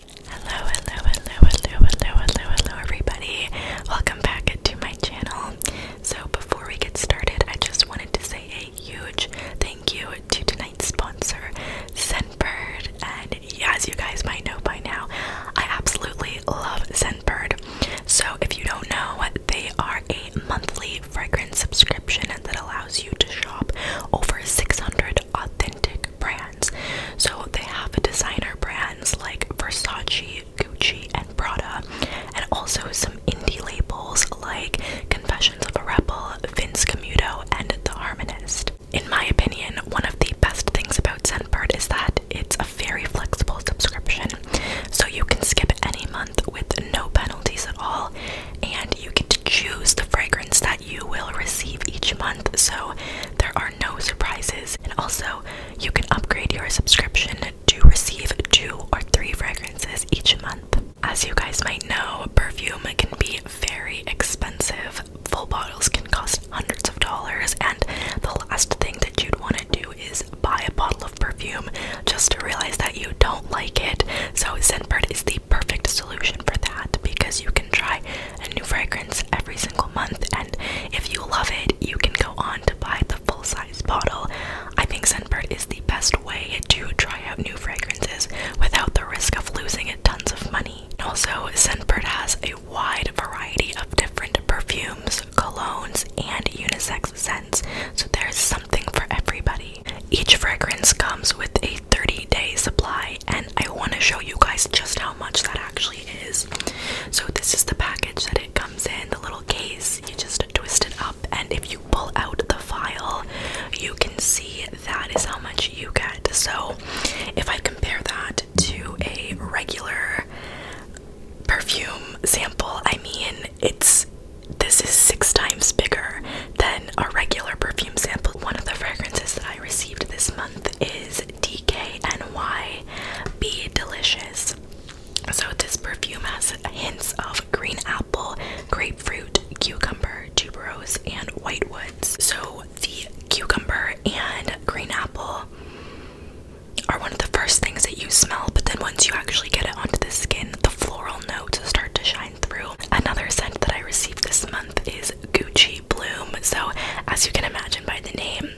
Hello, hello, hello, hello, hello, hello, hello, everybody. Welcome back to my channel. So, before we get started, I just wanted to say a huge thank you to tonight's sponsor, Zenbird. And as you guys might know by now, I absolutely love Zenbird. So, if you don't know, they are a monthly fragrance subscription that allows you to shop over 600 authentic brands. So they have designer brands like Versace, Gucci, and Prada, and also some indie labels like Confessions of a Rebel, Vince Camuto, and The Harmonist. In my opinion, one of the best things about Scentbird is that it's a very flexible subscription. So you can skip any month with no penalties at all, and you get to choose the fragrance that you will receive each month, so there are no surprises. And also, you can upgrade your subscription to receive two or three fragrances each month. As you guys might know, perfume can be very expensive. Full bottles can cost hundreds of dollars, and the last thing that you'd want to do is buy a bottle of perfume just to realize that you don't like it. So, Scentbird is the perfect solution for that because you can try a new fragrance every single month, and if you love it, you can go on to buy the full size bottle. I think Scentbird is the best way to try out new fragrances without the risk of losing tons of money. Also, Scentbird has a wide variety of different perfumes, colognes, and unisex scents, so there's something for everybody. Each fragrance comes with a 30 day supply, and I want to show you guys just how much that actually is. So this is the package that it comes in, the little case. You just twist it up, and if you pull out the file, you can see that is how much you get. So if I compare that to a regular perfume sample, I mean it's this is six times bigger than a regular perfume sample. One of the fragrances that I received this month month is DKNY Be Delicious. So, this perfume has hints of green apple, grapefruit, cucumber, tuberose, and white woods. So, the cucumber and green apple are one of the first things that you smell, but then once you actually get it onto the skin, the floral notes start to shine through. Another scent that I received this month is Gucci Bloom. So, as you can imagine by the name,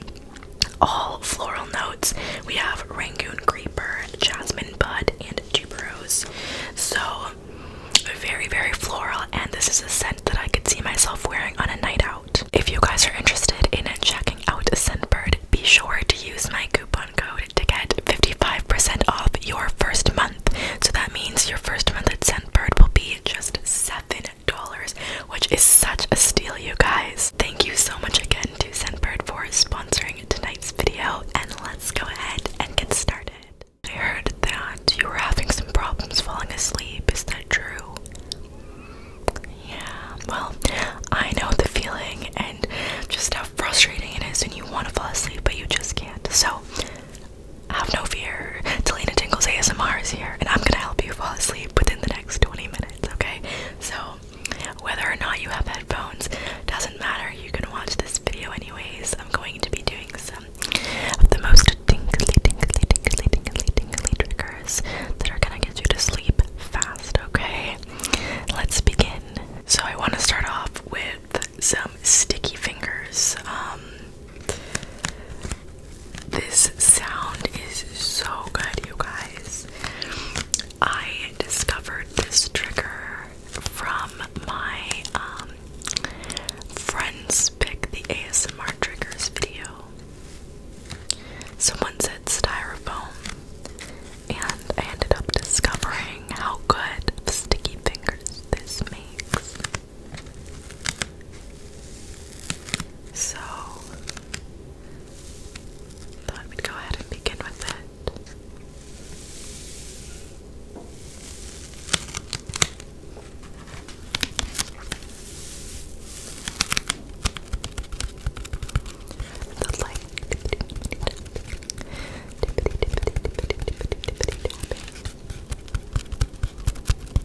all floral notes. We have Rangoon Creeper, Jasmine Bud, and Tuberose. So, very, very floral, and this is a scent that I could see myself wearing on a night out. If you guys are interested in checking out Scentbird, be sure to use my coupon code to get 55% off your first month. So that means your first month at Scentbird will be just $7 which is such a steal, you guys. Thank you so much again to Sendbird for sponsoring tonight's video, and let's go ahead and get started. I heard that you were having some problems falling asleep. Is that true? Yeah, well, I know the feeling and just how frustrating it is when you want to fall asleep but you just can't. So, have no fear. Delina Tingles ASMR is here, and I'm gonna help you fall asleep within the next 20 minutes, okay? So, whether or not you have headphones doesn't matter. You can watch this video anyways. I'm going to be doing some of the most tingly, tingly, tingly, tingly, tingly triggers that are gonna get you to sleep fast, okay? Let's begin. So, I want to start off with some sticky fingers. Um, this sound is so good, you guys. I discovered this trigger from my um, friends pick the ASMR triggers video. Someone said styrofoam, and I ended up discovering how good sticky fingers this makes. So, thought we'd go ahead and begin with it. The light.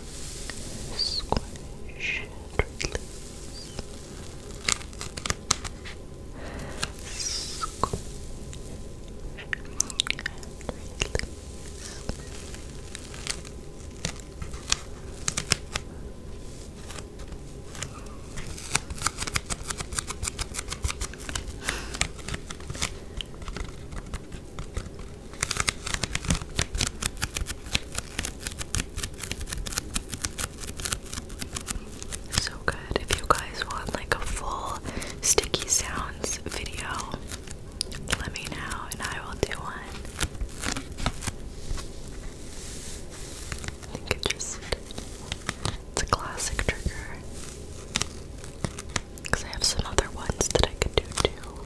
Squish and release. Squish and release. Squish and release. So good. If you guys want like a full sticky sounds video, let me know and I will do one. I think it just it's a classic trigger. Cause I have some other ones that I could do too.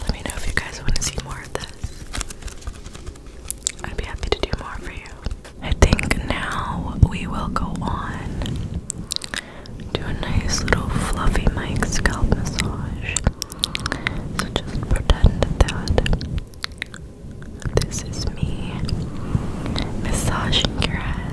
Let me know if you guys want to see more of this. I'd be happy to do more for you. I think now we will go on to a nice little fluffy mic scalp massage. So just pretend that this is me massaging your head.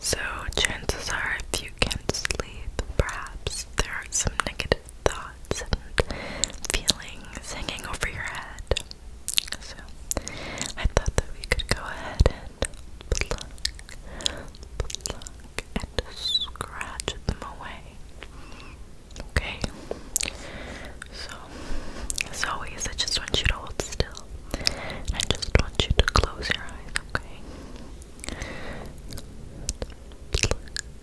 So, chances are, if you can't sleep, perhaps there are some negative thoughts and feelings hanging over your head. So I thought that we could go ahead and scratch them away. Okay? So, as always, I just want you to hold still. I just want you to close your eyes, okay?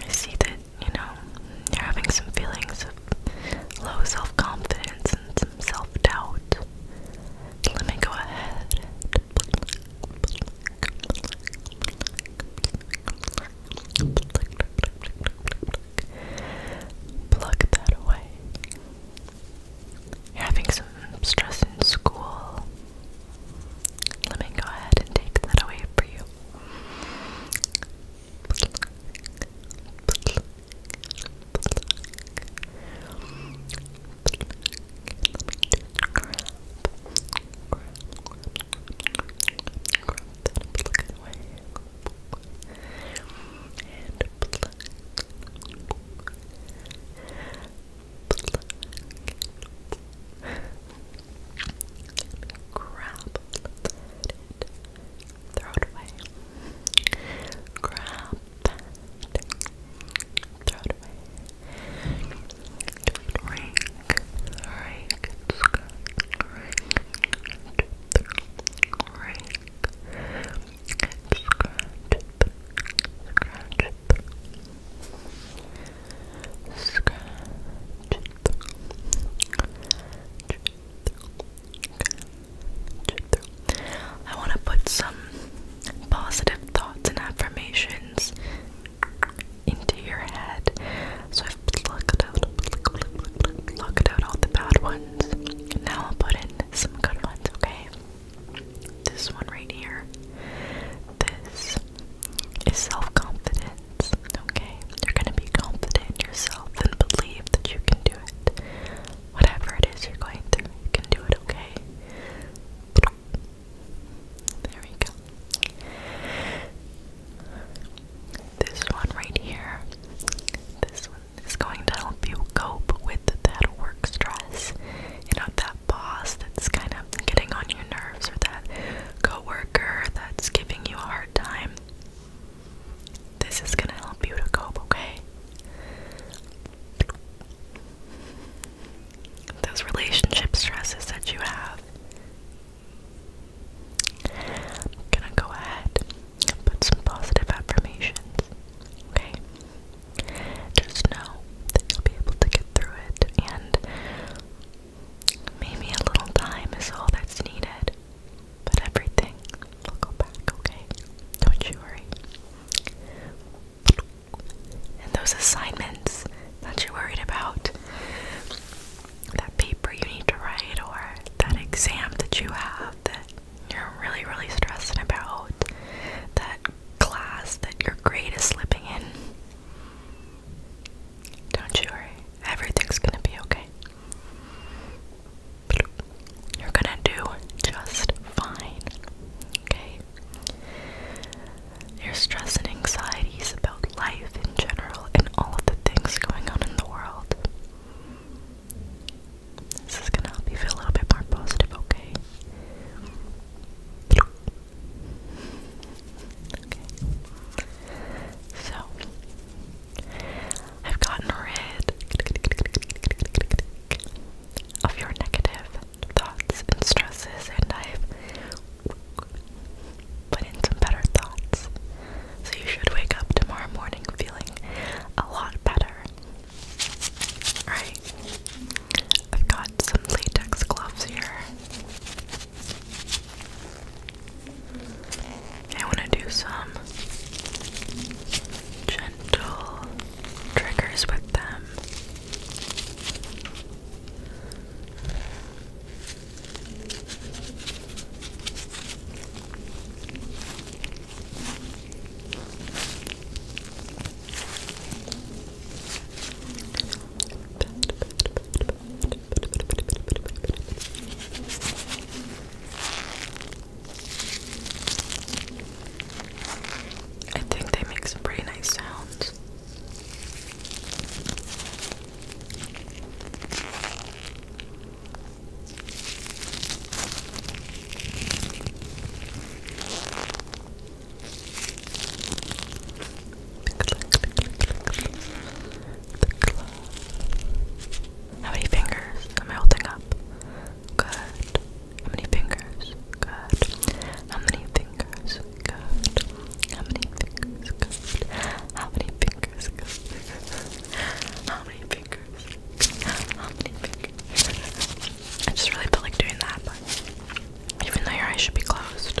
I see that, you know, you're having some feelings of low self confidence and some self doubt. Let me go ahead and that away. You're having some stress in school. Let me go ahead and take that away for you. Grab. Let it. Throw it away. Grab. It. Throw it away. Just rake. Rake. It's rake. Rake. Scratch, scratch, I want to put some positive thoughts and affirmations into your head. So I've plucked out, plucked, plucked out all the bad ones. Now I'll put in some good ones, okay? This one right here. This is self-confidence. Okay, you're gonna be confident in yourself and believe that you can do it. Whatever it is you're going through, you can do it. Okay. There we go. This one right here. This one is going to help you cope with that work stress. You know, that boss that's kind of getting on your nerves or that coworker that's giving you a hard time. This is going to help you to cope, okay? Those relationship stresses that you have. gonna go ahead and put some positive affirmations, okay? Just know that you'll be able to get through it, and Maybe a little time is all that's needed, but everything will go back, okay? Don't you worry. And those assignments that you're worried about, that paper you need to write, or that exam that you have that you're really, really stressing about, that class that your grade is slipping in, don't you worry, everything's gonna be okay. You're gonna do just fine, okay? Your stress and anxieties about life in general and all of the things going on in the world. This is gonna help you feel a little bit more positive, okay? So I've gotten rid of your negative thoughts and stresses and I've put in some better thoughts. So you should wake up tomorrow morning feeling a lot better. Right? I've got some latex gloves here. I want to do some gentle triggers with them. I think they make some pretty nice sounds. How many fingers? Am I holding up? Good. How many fingers? Good. How many fingers? Good. How many fingers? Good. How many fingers? Good. How many fingers? How many fingers? I just really feel like doing that, but even though your eyes should be closed,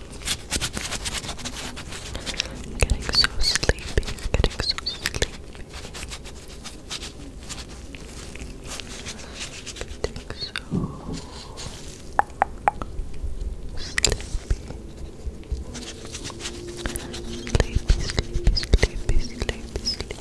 I'm getting so sleepy, getting so sleepy. Getting so sleepy. Sleepy, sleepy, sleepy, sleepy, sleepy.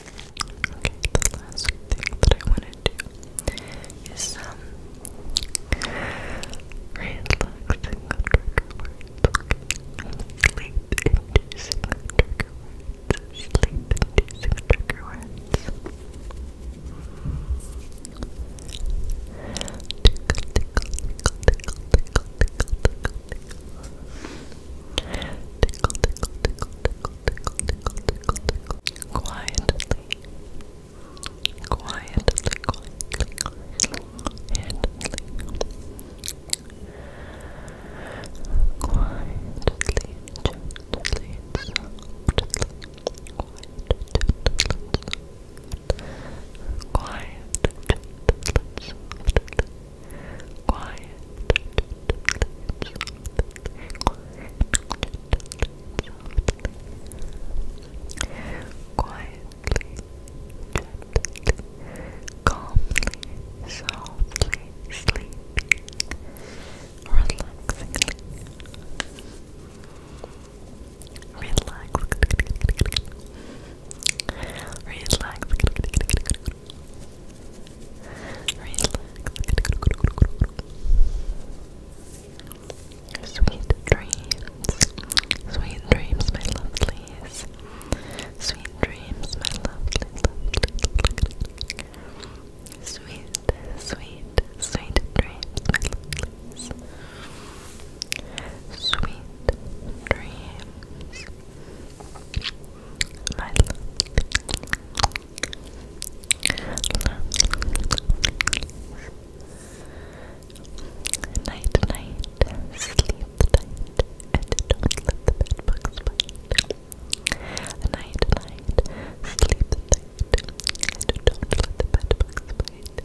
Okay, the last thing that I want to do is um Sleep inducing trigger words. Sleep inducing trigger words. tickle, tickle, tickle, tickle, tickle, tickle. Tickle, tickle, tickle, tickle, tickle, tickle, tickle, tickle. Quietly. Quietly, quietly, quietly. Quietly, gently, softly. Quiet, gently, softly. Quiet, gently, softly. Quietly, gently, calmly, softly, sleepy, relaxingly, relax, relax, Sweet dreams. Sweet dreams, my lovelies. Sweet dreams, my love, please. Sweet, sweet, sweet dreams, my love, please. Sweet dreams, my lovely, Night, night, sleep tight, and don't let the bed bugs bite. Night, night, sleep tight, and don't let the bed bugs bite.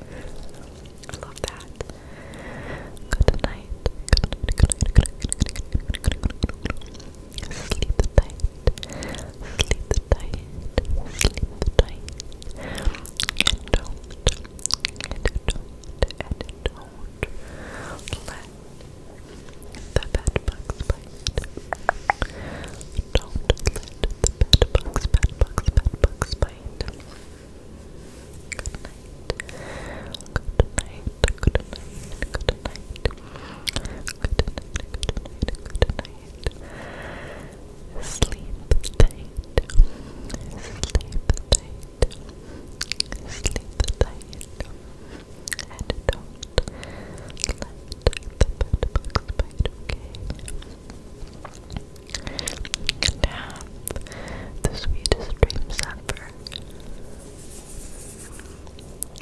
love that. Good night. Good night. Good night. Good night. Good night. Good night. Good night. Sleep tight. Sleep tight. Sleep tight. And don't, and don't, and don't let the bed bite. Don't let the bed bugs, bugs, bugs bite. Good night. Good night. Good night. Good night. Good night, Sleep tight. Sleep tight. Sleep tight. And don't let the bedbugs bite, okay? And have the sweetest dreams ever.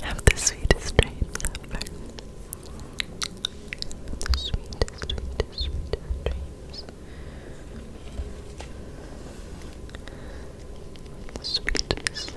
Have the sweetest dreams The sweetest, sweetest, dreams. sweetest, sweetest dreams. Good kisses.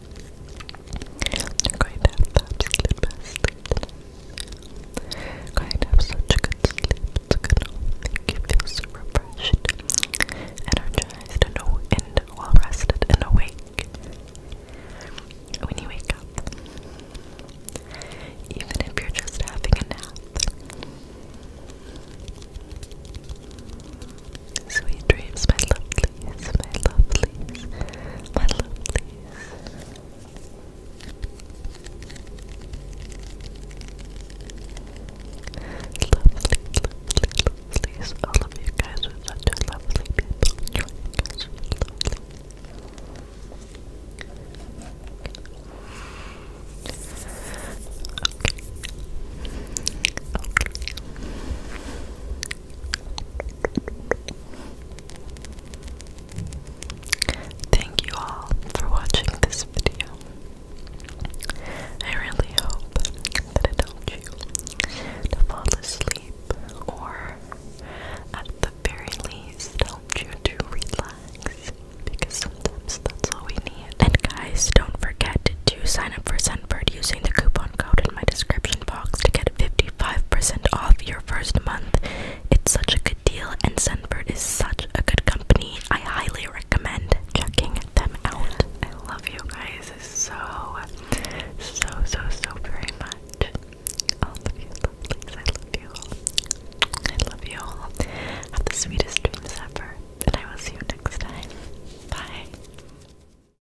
you going to have the absolute best you going to have such a good sleep. It's gonna make you feel so refreshed, energized, and well rested and awake when you wake up. Even if you're just having a nap. Sweet dreams, my lovelies, my lovelies, my lovelies. Lovely, lovely, lovelies. All of you guys are such lovely people. You guys are lovely. Thank you all for watching this video. I really hope that it helped you to fall asleep or at the very least helped you to relax because sometimes that's all we need. And guys, don't forget to sign up for Sunbird using the coupon code in my description box to get 55% off your first month. It's such a good deal, and Sunbird is such a good company. I highly recommend checking them out. I love you guys so, so, so, so very much. Oh, I love you all. I love you all. Have the sweetest dreams ever, and I will see you next time. Bye.